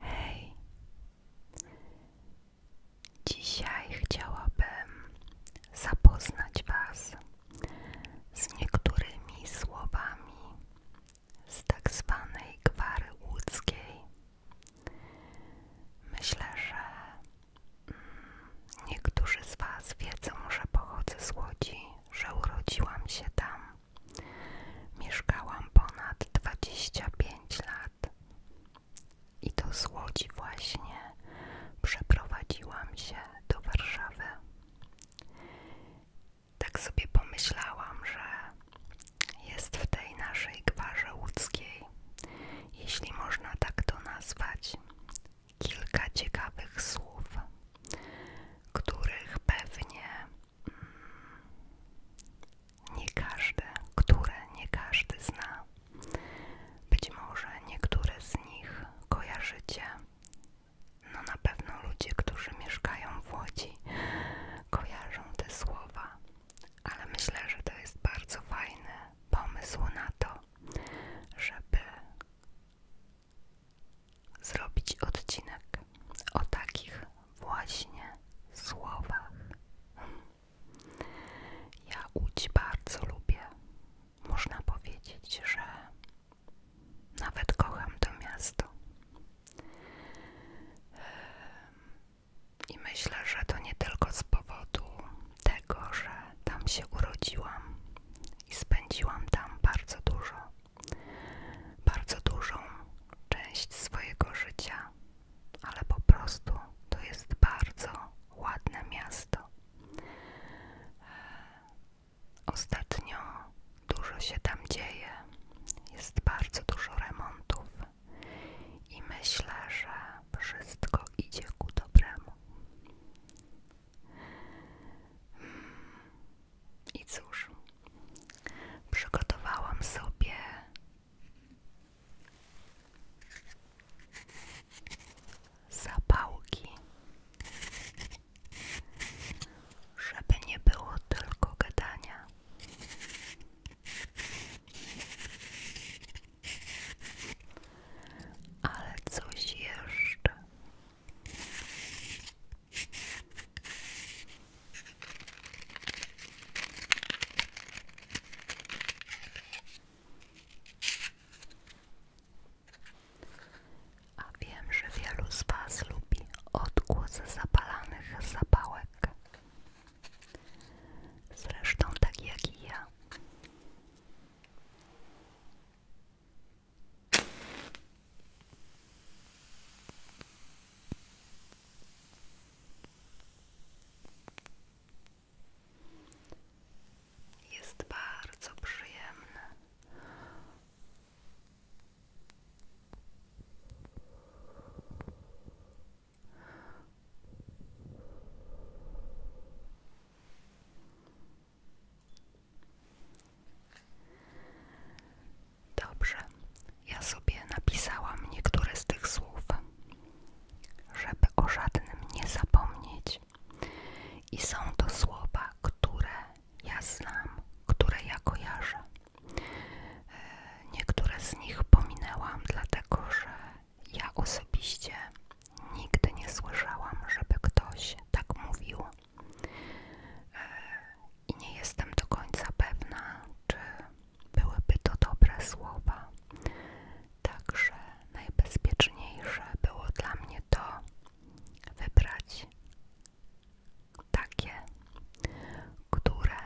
Hej, dzisiaj chciałabym zapoznać Was z niektórymi słowami z tak zwanej gwary łódzkiej. Myślę, że mm, niektórzy z Was wiedzą, że pochodzę z Łodzi, że urodziłam się tam. Mieszkałam ponad 25 lat i to z Łodzi właśnie przeprowadziłam się do Warszawy. Tak sobie pomyślałam, że jest w tej naszej gwarze łódzkiej, jeśli można tak to nazwać, kilka ciekawych słów, których pewnie mm, nie każdy, które nie każdy zna. Być może niektóre z nich kojarzycie. No na pewno ludzie, którzy mieszkają w Łodzi, kojarzą te słowa, ale myślę, że to jest bardzo fajny pomysł na to, żeby zrobić odcinek o takich właśnie słowach. Ja łódź bardzo lubię. Można powiedzieć, że nawet kocham to miasto. I myślę, że to nie tylko z powodu tego, że tam się urodziłam i spędziłam tam bardzo dużo bardzo dużą część swojego życia, ale po prostu to jest bardzo ładne miasto. Ostatnio dużo się tam dzieje, jest bardzo dużo remontów i myślę, że wszystko idzie ku dobremu. Hmm. I cóż, przygotowałam sobie zapałki, żeby nie było tylko gadania. Ale coś jeszcze. A wiem, że wielu z Was lubi odgłos zapalanych zapałek. Zresztą tak jak i ja. Jest bardzo przyjemne. Dobrze, ja sobie napisałam niektóre z tych słów, żeby o żadnym nie zapomnieć. I są to słowa, które ja znam, które ja kojarzę. E, niektóre z nich pominęłam, dlatego że ja osobiście nigdy nie słyszałam, żeby ktoś tak mówił E, I nie jestem do końca pewna, czy byłyby to dobre słowa. Także najbezpieczniejsze było dla mnie to wybrać takie, które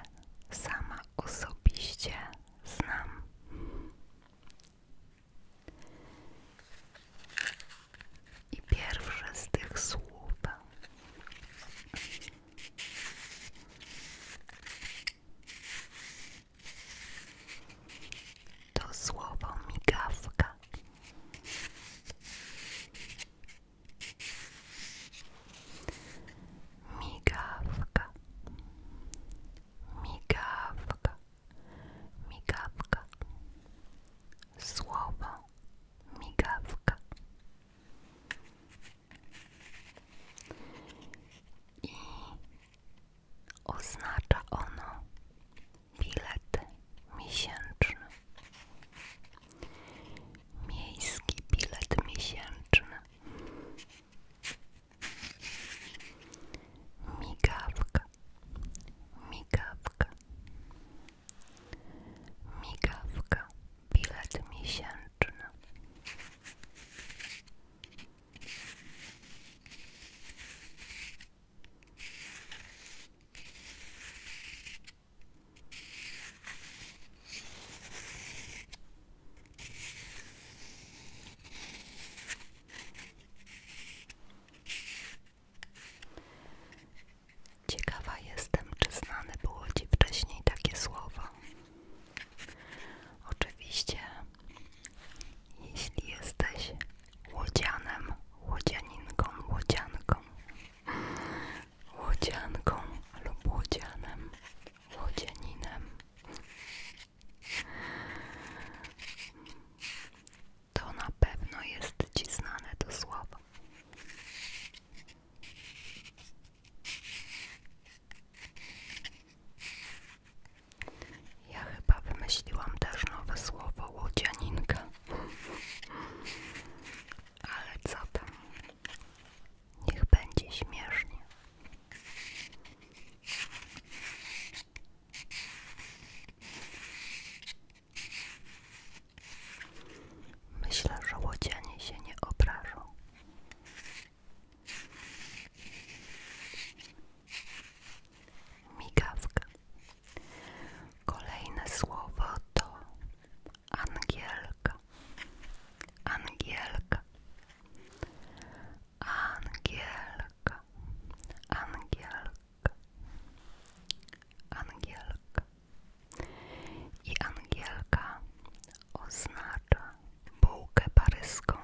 sama osobiście znam. I pierwsze z tych słów to słowo migawka. Migawka. Migawka. Migawka. Słowo migawka. I oznacza ono bilet miesięczny. Miejski bilet miesięczny. Migawka, migawka, Migawka, bilet miesięczny. Ciekawa jestem, czy znane było Ci wcześniej takie słowo. Oczywiście, jeśli jesteś łodzianem, łodzianinką, łodzianką, łodzianką lub łodzianem, łodzianinem, to na pewno jest Ci znane to słowo. Ja chyba wymyśliłam też nowe słowo łodzianinka. Ale co tam? Niech będzie śmiesznie. Myślę, że łodzianie się nie obrażą. Migawka. Kolejne słowo to angielka. Angielka. Angielka. Angielka. Angielka. I angielka oznacza bułkę paryską.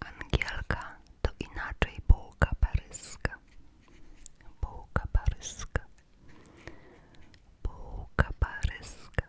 Angielka to inaczej bułka paryska. Bułka paryska. Bułka paryska.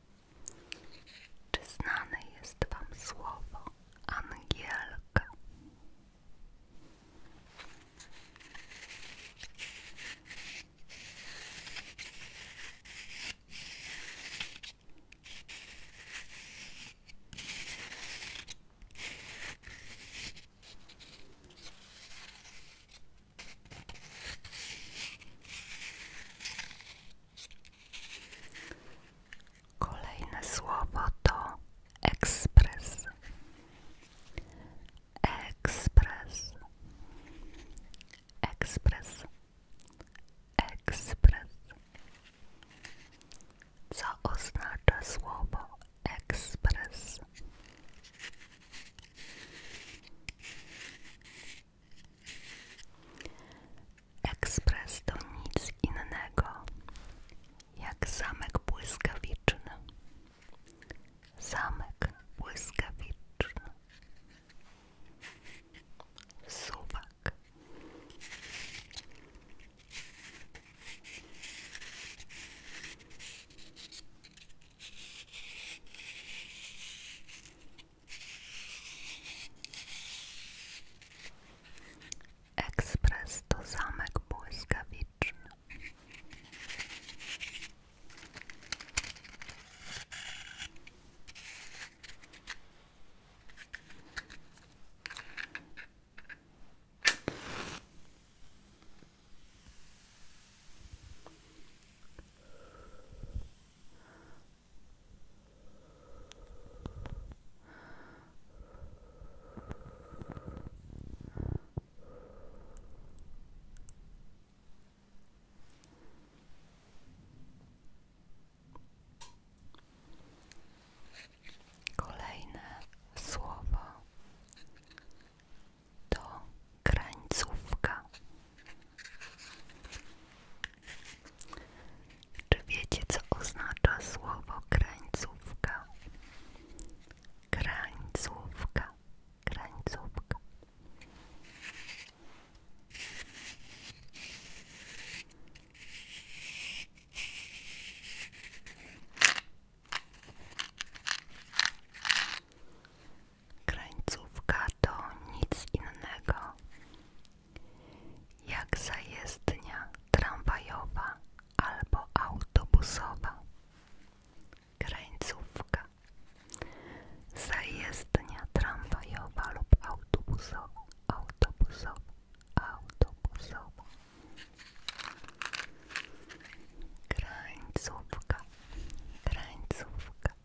Czy znane jest Wam słowo angielka? Kolejne słowo to ekspres. Ekspres. Ekspres. Ekspres. Co oznacza słowo ekspres? Ekspres to nic innego jak zamek błyskawiczny. Zamek błyskawiczny. Suwak. Ekspres to zamek błyskawiczny. Kolejne słowo to krańcówka czy wiecie, co oznacza słowo krańcówka? Krańcówka, krańcówka. Krańcówka to nic innego jak zajezdnia tramwajowa albo autobusowa. Krańcówka. Zajezdnia tramwajowa lub autobusowa, autobusowa, autobusowa. Krańcówka, krańcówka,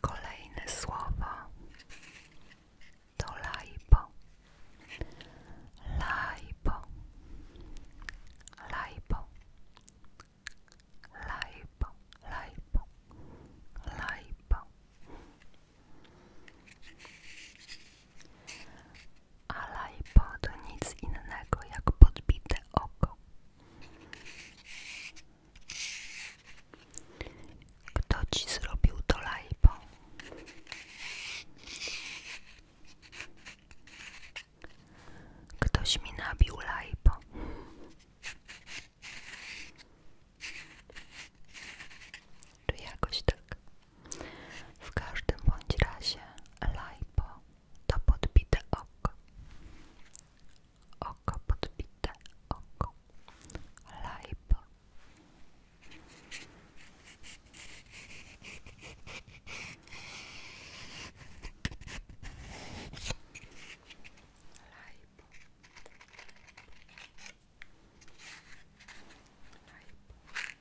Kolejne słowo to lajpo. Lajpo. Lajpo. Lajpo. Lajpo. Lajpo. Alaipo to nic innego jak podbite oko. Kto ci zrobił to laipo? Ktoś mi nabił laipo. Czy tak? W każdym bądź razie lajpo to podbite oko. Oko podbite oko. Lajpo. Lajpo. Lajpo.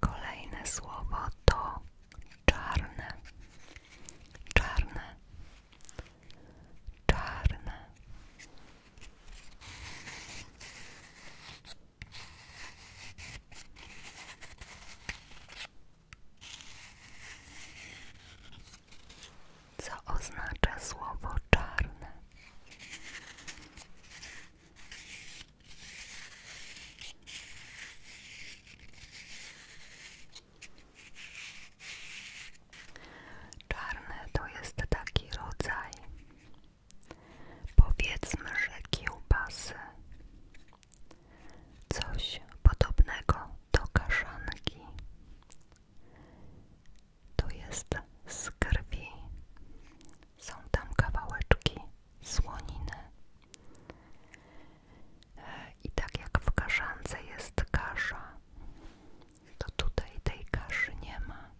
Kolejne słowo to czarne, czarne, czarne. Co oznacza słowo czarne? Czarny to jest taki rodzaj, powiedzmy, że kiełbasy, coś podobnego do kaszanki to jest z Są tam kawałeczki słoniny. E, I tak jak w kaszance jest kasza, to tutaj tej kaszy nie ma.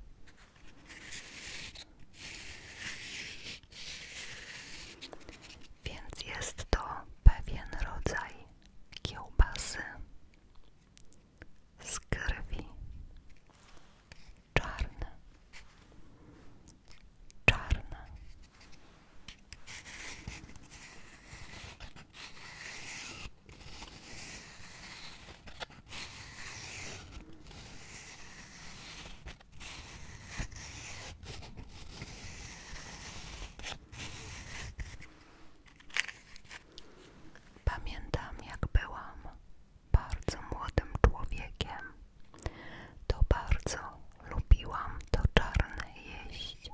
Więc jest to pewien rodzaj kiełbasy z krwi czarne Pamiętam, jak byłam bardzo młodym człowiekiem, to bardzo lubiłam to czarne jeść.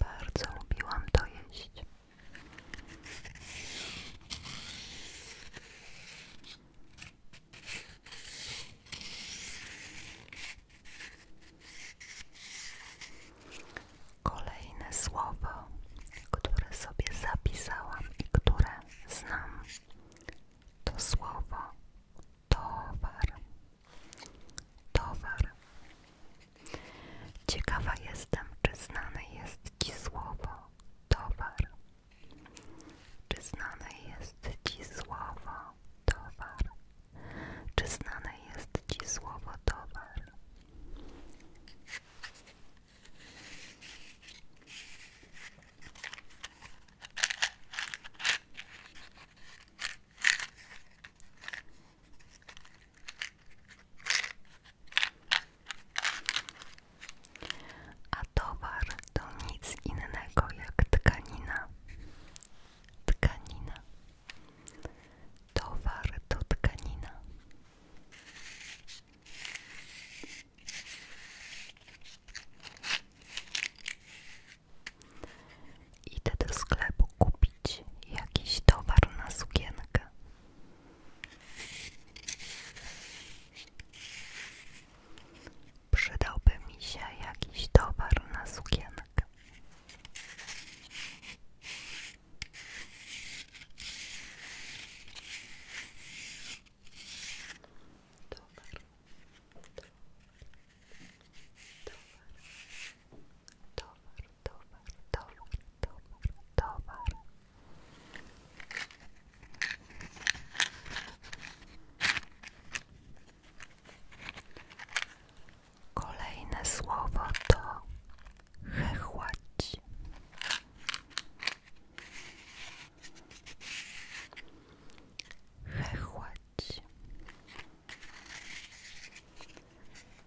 Bardzo lubiłam to jeść. Kolejne słowo, które sobie zapisałam i które znam, to słowo towar. Towar. Ciekawa jestem, czy znane jest Ci słowo towar. Czy znane jest Ci słowo towar? Czy znane jest Ci słowo towar? A towar to nic innego jak tkanina. Tkanina. Towar to tkanina. Idę do sklepu kupić jakiś towar na sukienkę. Przydałby mi się jakiś towar na sukienkę. Kolejne słowo to chechłać. Chechłać.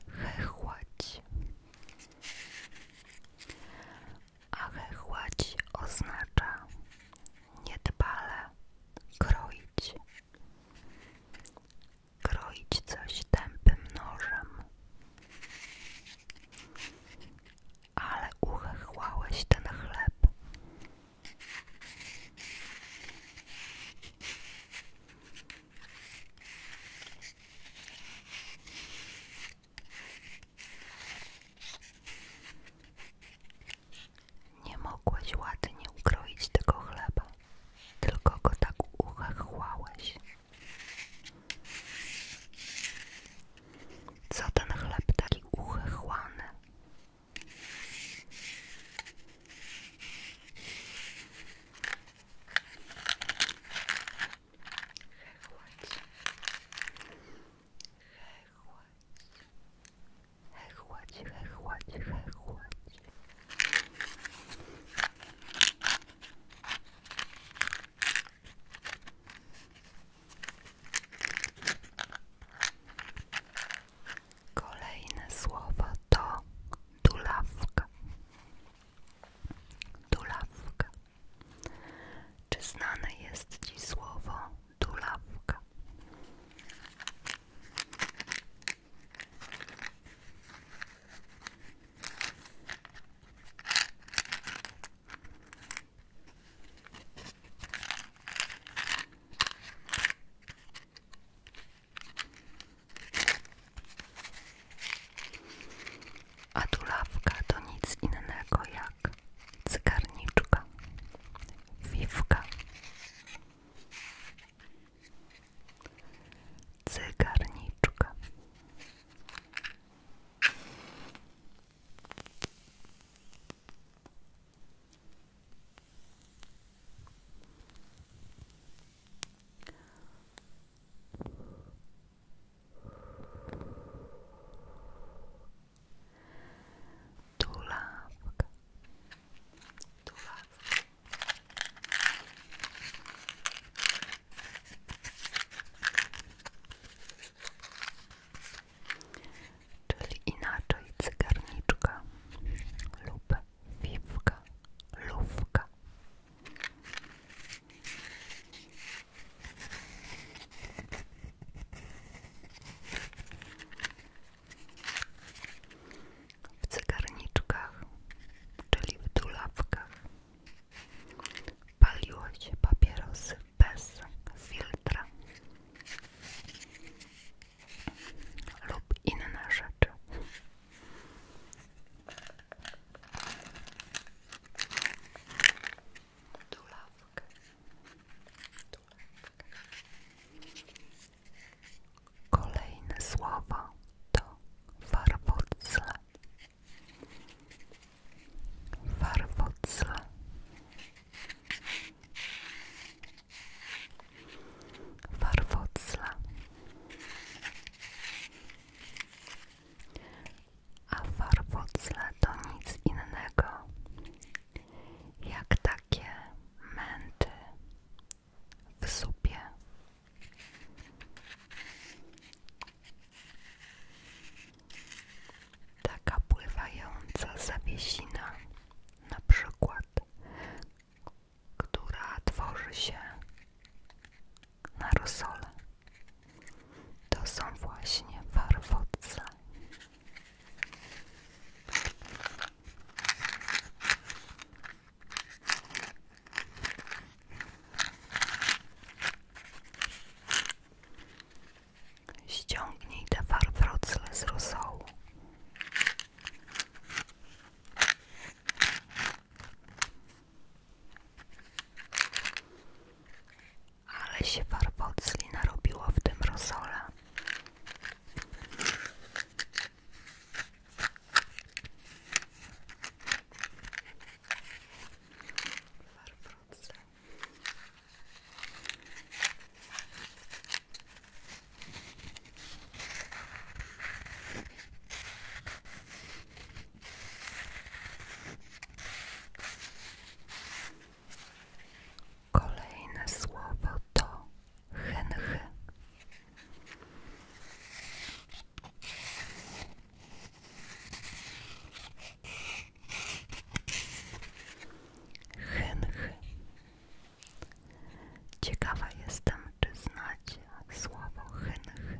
Chechłać. Achechłać oznacza niedbale kroić. Kroić coś tępym nożem. Ale uchechłałeś ten chleb. Nie mogłeś ładnie ukroić tego chleba, tylko go tak uchachłałeś. Co ten chleb taki uchechłany? Hechłać. Hechłać. Hechłać, hechłać, Kolejne słowo to tulawka. Tulawka. Czy znane jest Ci słowo tulawka? A tulawka to nic innego jak cygarniczka, wiwka. Cygarniczka. Tulawka. Czyli inaczej cygarniczka lub wiwka, lówka, w cygarniczkach, czyli w tulawkach, paliło się papierosy bez filtra lub inne rzeczy. Kolejne słowo to warwocle. Warwocle. Warwocle a farfocle to nic innego jak takie męty w supie. Taka pływająca zawiesina, na przykład, która tworzy się na rosole. To są właśnie farfoce. Ściągnij te farfrocle z rosołu. Ale się farbocli narobiło w tym rosole. Kolejne słowo to henchy. Henchy. Ciekawa jestem, czy znacie słowo henchy.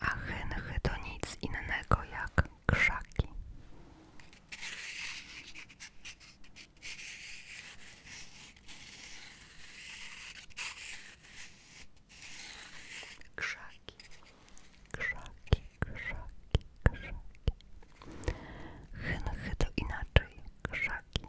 a chęchy to nic innego jak krzaki. Krzaki, krzaki, krzaki, krzaki. Chęchy to inaczej, krzaki.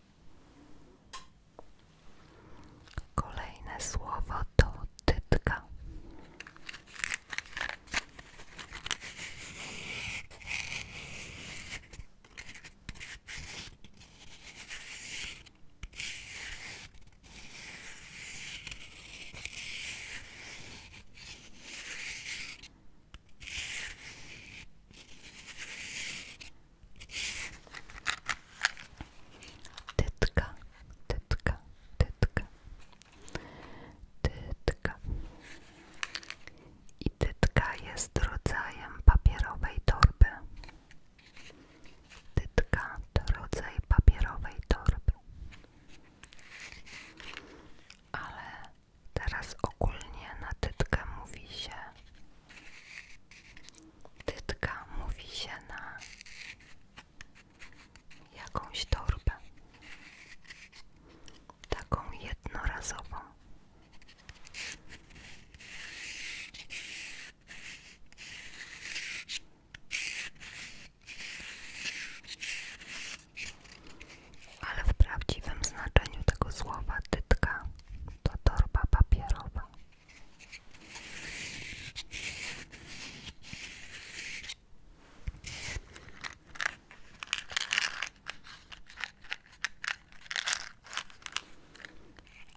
Kolejne słowo to tytka. Tytka, tytka, tytka, tytka. I tytka jest rodzajem papierowej torby. Tytka to rodzaj papierowej torby. Ale teraz ogólnie na tytkę mówi się Tytka mówi się na jakąś torbę, taką jednorazową. Ale w prawdziwym znaczeniu tego słowa tytka to torba papierowa.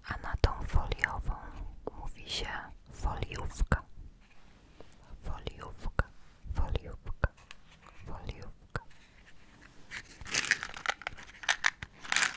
A na tą foliową mówi się foliówka. Foliówka, foliówka, foliówka.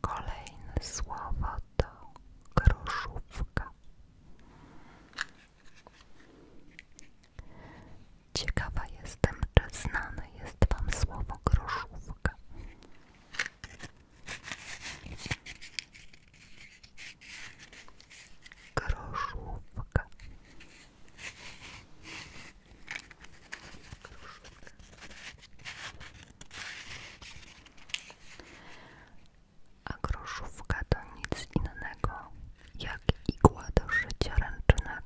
Kolejne słowo to groszówka. Ciekawa jestem, czy znane jest Wam słowo groszówka. Groszówka. Groszówka. A groszówka to nic innego jak igła do szycia ręcznego.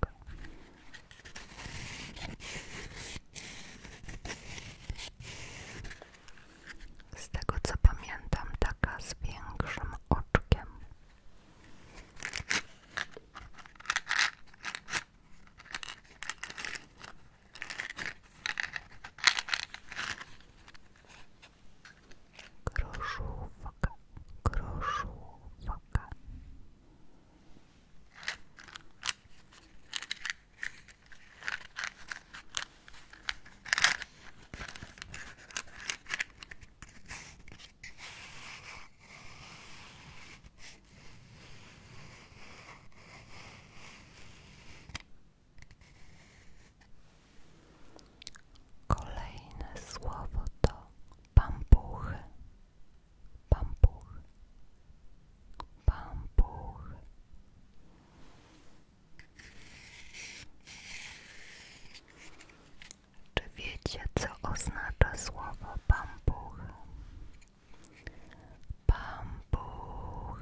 Z tego co pamiętam, taka z większym oczkiem. Groszówka, groszówka. Kolejne słowo to pampuchy, pampuchy, pampuchy, czy wiecie, co oznacza słowo pampuch? Pampuch.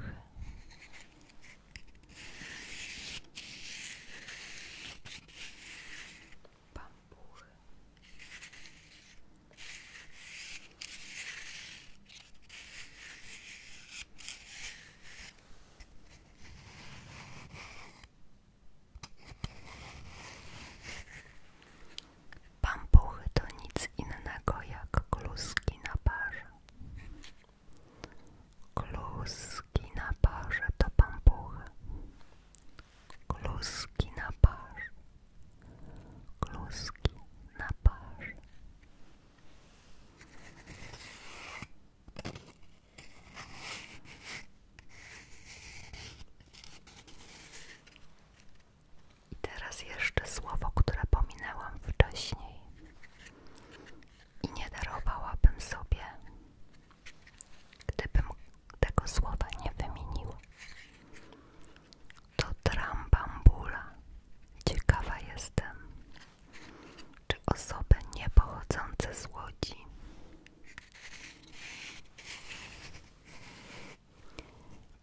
Pampuchy to nic innego jak kluski na parze. Kluski na parze to pampuchy. Kluski na parze. Kluski na parze. I teraz jeszcze słowo, które pominęłam wcześniej i nie darowałabym sobie, gdybym tego słowa nie wymieniła. To trambambula. Ciekawa jestem, czy osoby niepochodzące z Łodzi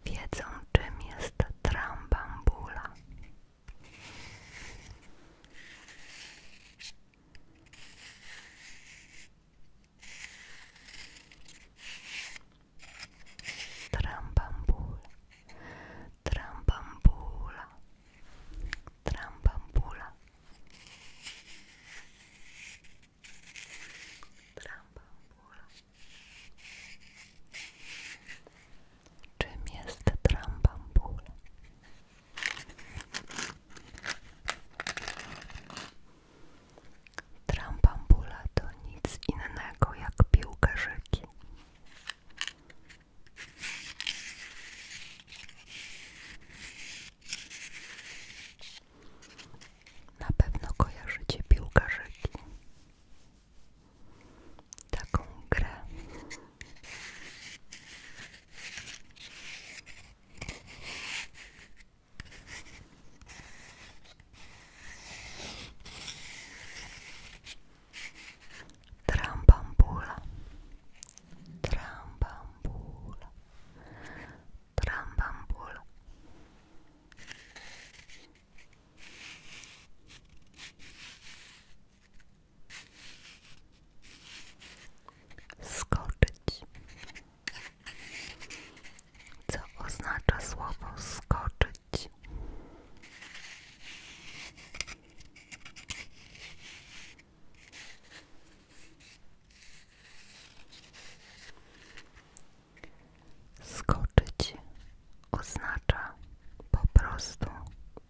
wiedzą, czym jest trambambula. Trambambula, trambambula, trambambula, trambambula. Czym jest trambambula? Trambambula to nic innego jak piłkarzyki. Na pewno kojarzycie piłkarzyki. Taką grę. Trambambula, trambambula, trambambula. Skoczyć, co oznacza słowo skoczyć. Skoczyć oznacza po prostu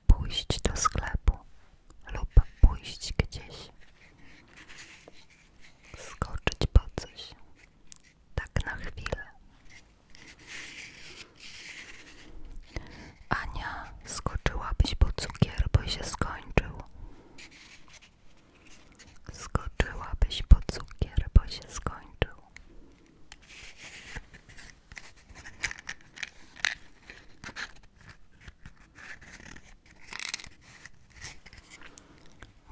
pójść do sklepu lub pójść gdzieś. Skoczyć po coś tak na chwilę. Ania, skoczyłabyś po cukier, bo się skończył. Skoczyłabyś po cukier, bo się skończył.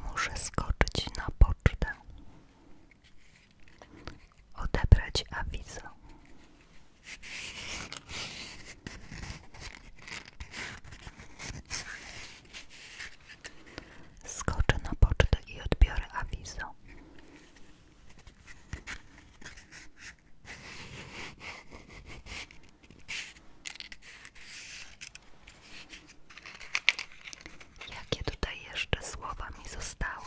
Muszę skoczyć na pocztę odebrać awizo. Skoczę na pocztę i odbiorę awizo. Jakie tutaj jeszcze słowa mi zostały?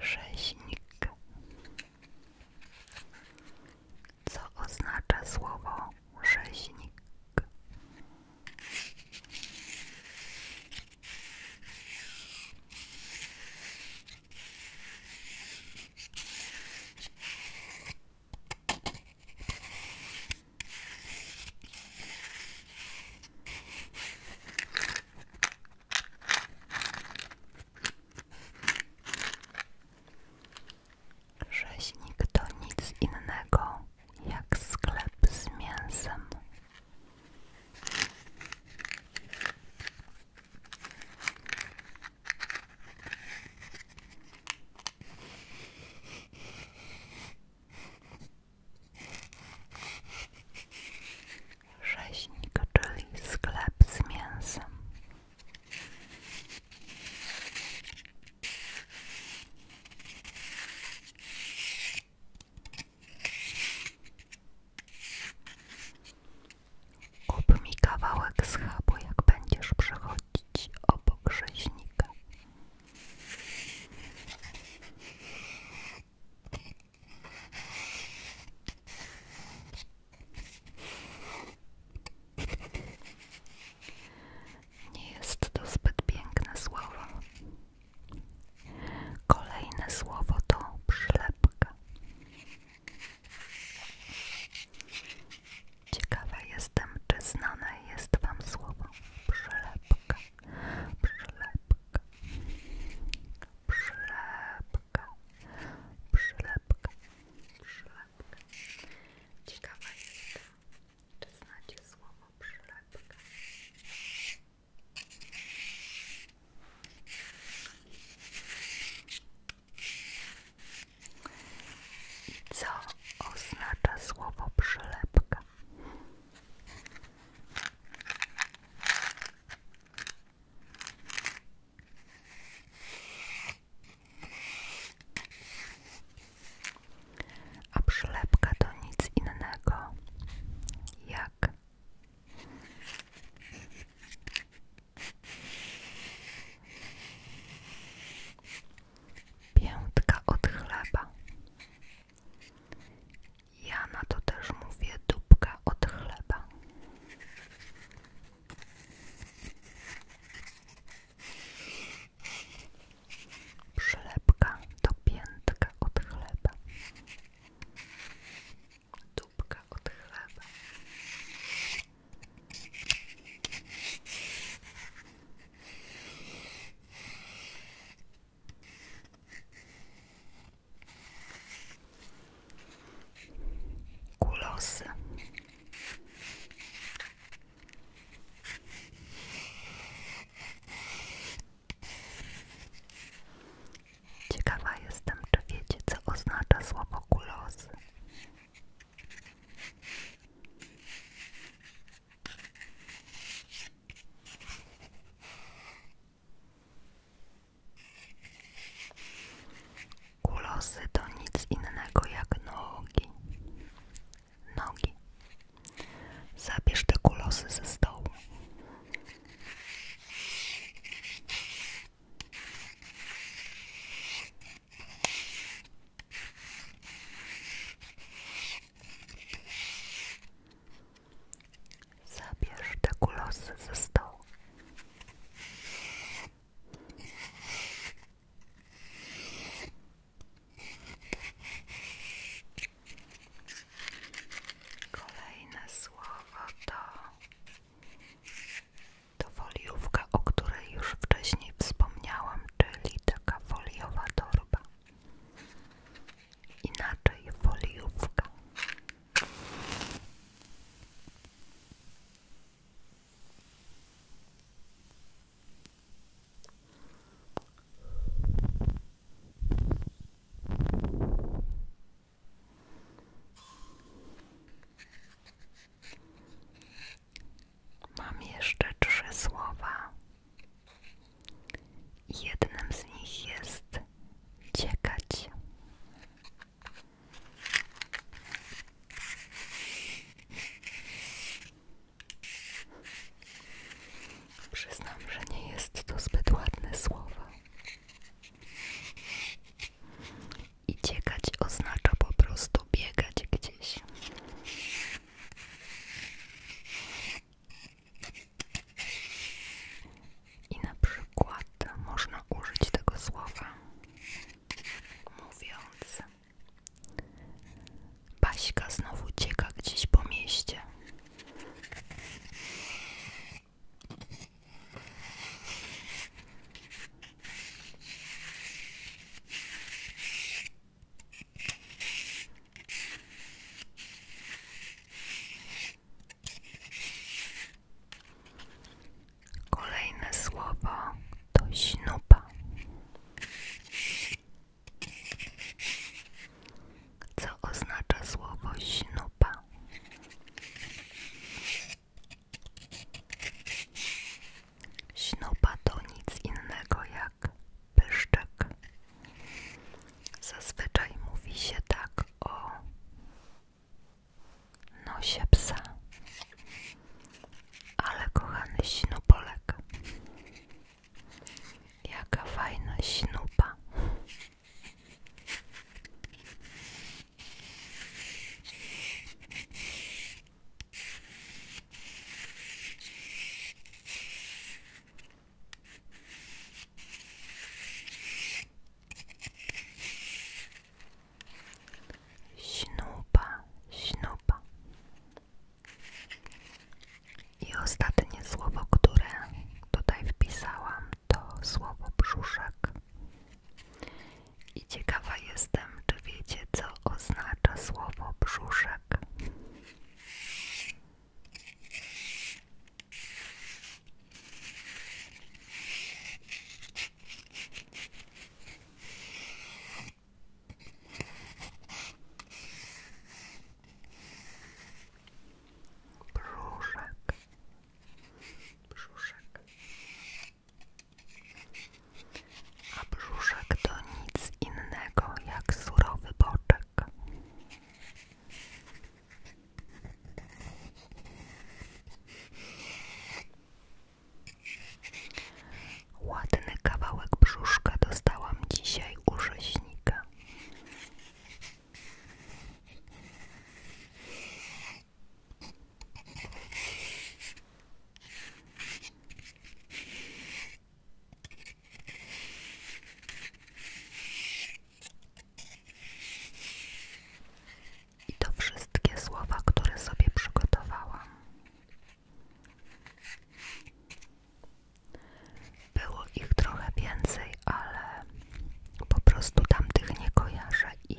Rzeźnik. Co oznacza słowo rzeźnik? Rzeźnik to nic innego jak sklep z mięsem. Rzeźnik, czyli sklep z mięsem. Kup mi kawałek z chabu, jak będziesz przechodzić obok rzeźnika. Nie jest to zbyt piękne słowo. Kolejne słowo to przylepka. Ciekawe jestem, czy znane jest Wam słowo przylepka masz przylepkę, przylepkę, przylepkę, przylepkę. Ciekawa jestem, czy znacie słowo przylepkę. I co oznacza słowo przylepka? A przylepka to nic innego jak piętka od chleba. Ja na to też mówię dupka od chleba. Przylepka to piętka od chleba. Dupka od chleba. Kulosy. Ciekawa jestem, czy wiecie, co oznacza słowo kulosy. Kulosy to nic innego jak nogi. Nogi. Zabierz te kulosy ze stołu. Zabierz te kulosy ze stołu. Kolejne słowo to to foliówka, o której już wcześniej wspomniałam, czyli taka foliowa torba inaczej foliówka. Mam jeszcze trzy słowa Jednym z nich jest ciekać. Przyznam, że nie jest to zbyt ładne słowo. I ciekać oznacza po prostu biegać gdzieś. I na przykład można użyć tego słowa mówiąc Baśka znowu cieka gdzieś po mieście. Kolejne słowo to śnupa. Co oznacza słowo śnupa? Śnupa to nic innego jak tak, pyszczek, Zazwyczaj mówi się tak o nosie psa, ale kochany Sinupolek, jaka fajna Sinupa. Śnupa, śnupa. I ostatnie słowo, które tutaj wpisałam, to słowo brzuszek. I ciekawa jestem, czy wiecie, co oznacza słowo brzuszek. Brzuszek. Brzuszek. A brzuszek to nic innego jak surowy boczek. Ładny kawałek brzuszka dostałam dzisiaj u i to wszystkie słowa, które sobie przygotowałam. Było ich trochę więcej, ale po prostu tamtych nie kojarzę i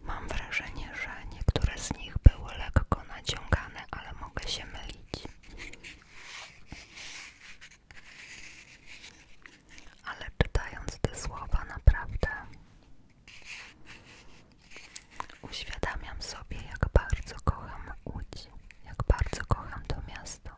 mam wrażenie, że niektóre z nich były lekko naciągane, ale mogę się mylić. Ale czytając te słowa, naprawdę uświadamiam sobie, jak bardzo kocham Łódź, jak bardzo kocham to miasto.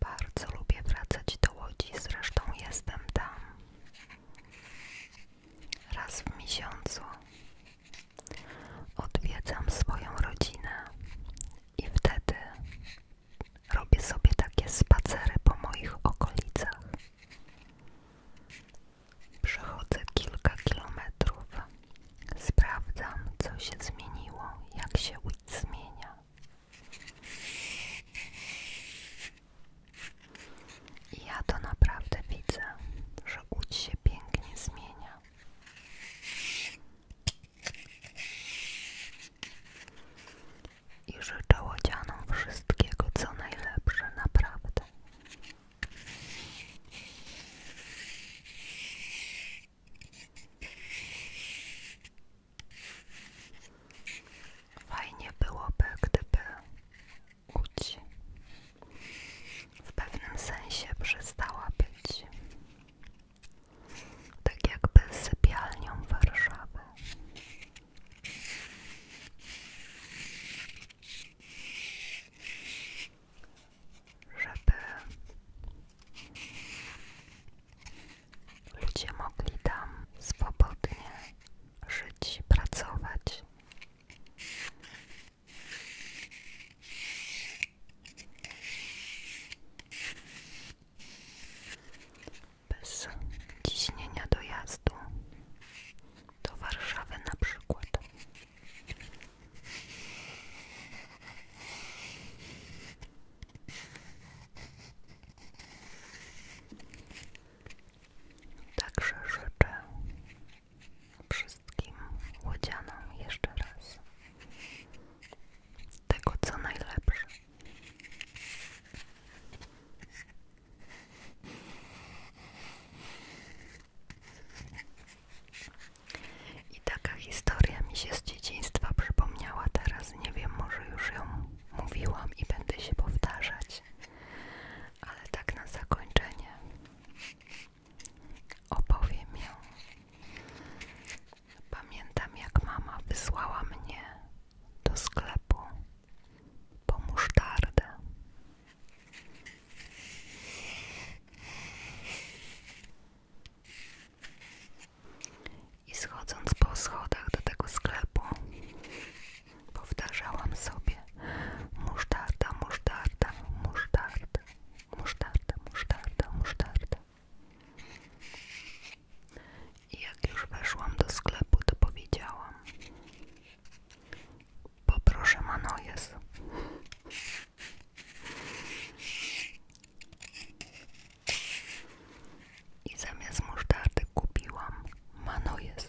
Bardzo lubię wracać do Łodzi, zresztą jestem tam raz w miesiącu. Odwiedzam swoją rodzinę i wtedy robię sobie takie spacery po moich okolicach. Przechodzę kilka kilometrów. Sprawdzam, co się zmieniło, jak się ulic zmienia. I ja to naprawdę widzę, że Łódź się pięknie zmienia i życzę łodzianom wszystkiego, co najlepsze, naprawdę. Fajnie byłoby, gdyby Łódź w pewnym sensie przestała być tak jakby sypialnią Warszawy żeby ludzie mogli tam swobodnie żyć, pracować bez ciśnienia dojazdu do Warszawy na przykład. Także życzę wszystkim łodzianom jeszcze raz tego co najlepsze. I taka historia mi się z dzieciństwa przypomniała teraz. Nie wiem, może już ją mówiłam i będę się powtarzać. Ale tak na zakończenie opowiem ją. Pamiętam, jak mama wysłała mnie do sklepu po musztardę. I schodząc po schodach do tego sklepu, powtarzałam sobie musztarda, musztarda, musztarda, musztarda, musztarda, musztarda jak już weszłam do sklepu, to powiedziałam: Poproszę manojes. I zamiast musztardy kupiłam manojes.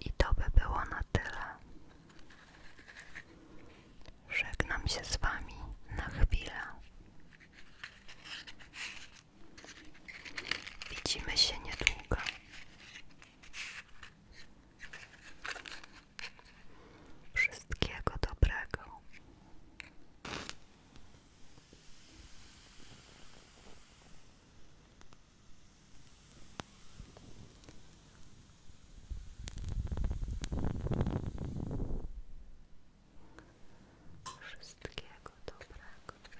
I to by było na tyle. Żegnam się z Wami na chwilę. Widzimy się niedługo. Wszystkiego dobrego. Wszystkiego dobrego.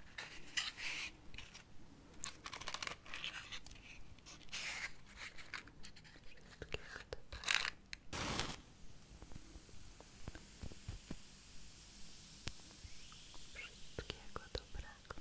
Wszystkiego dobrego. Wszystkiego dobrego.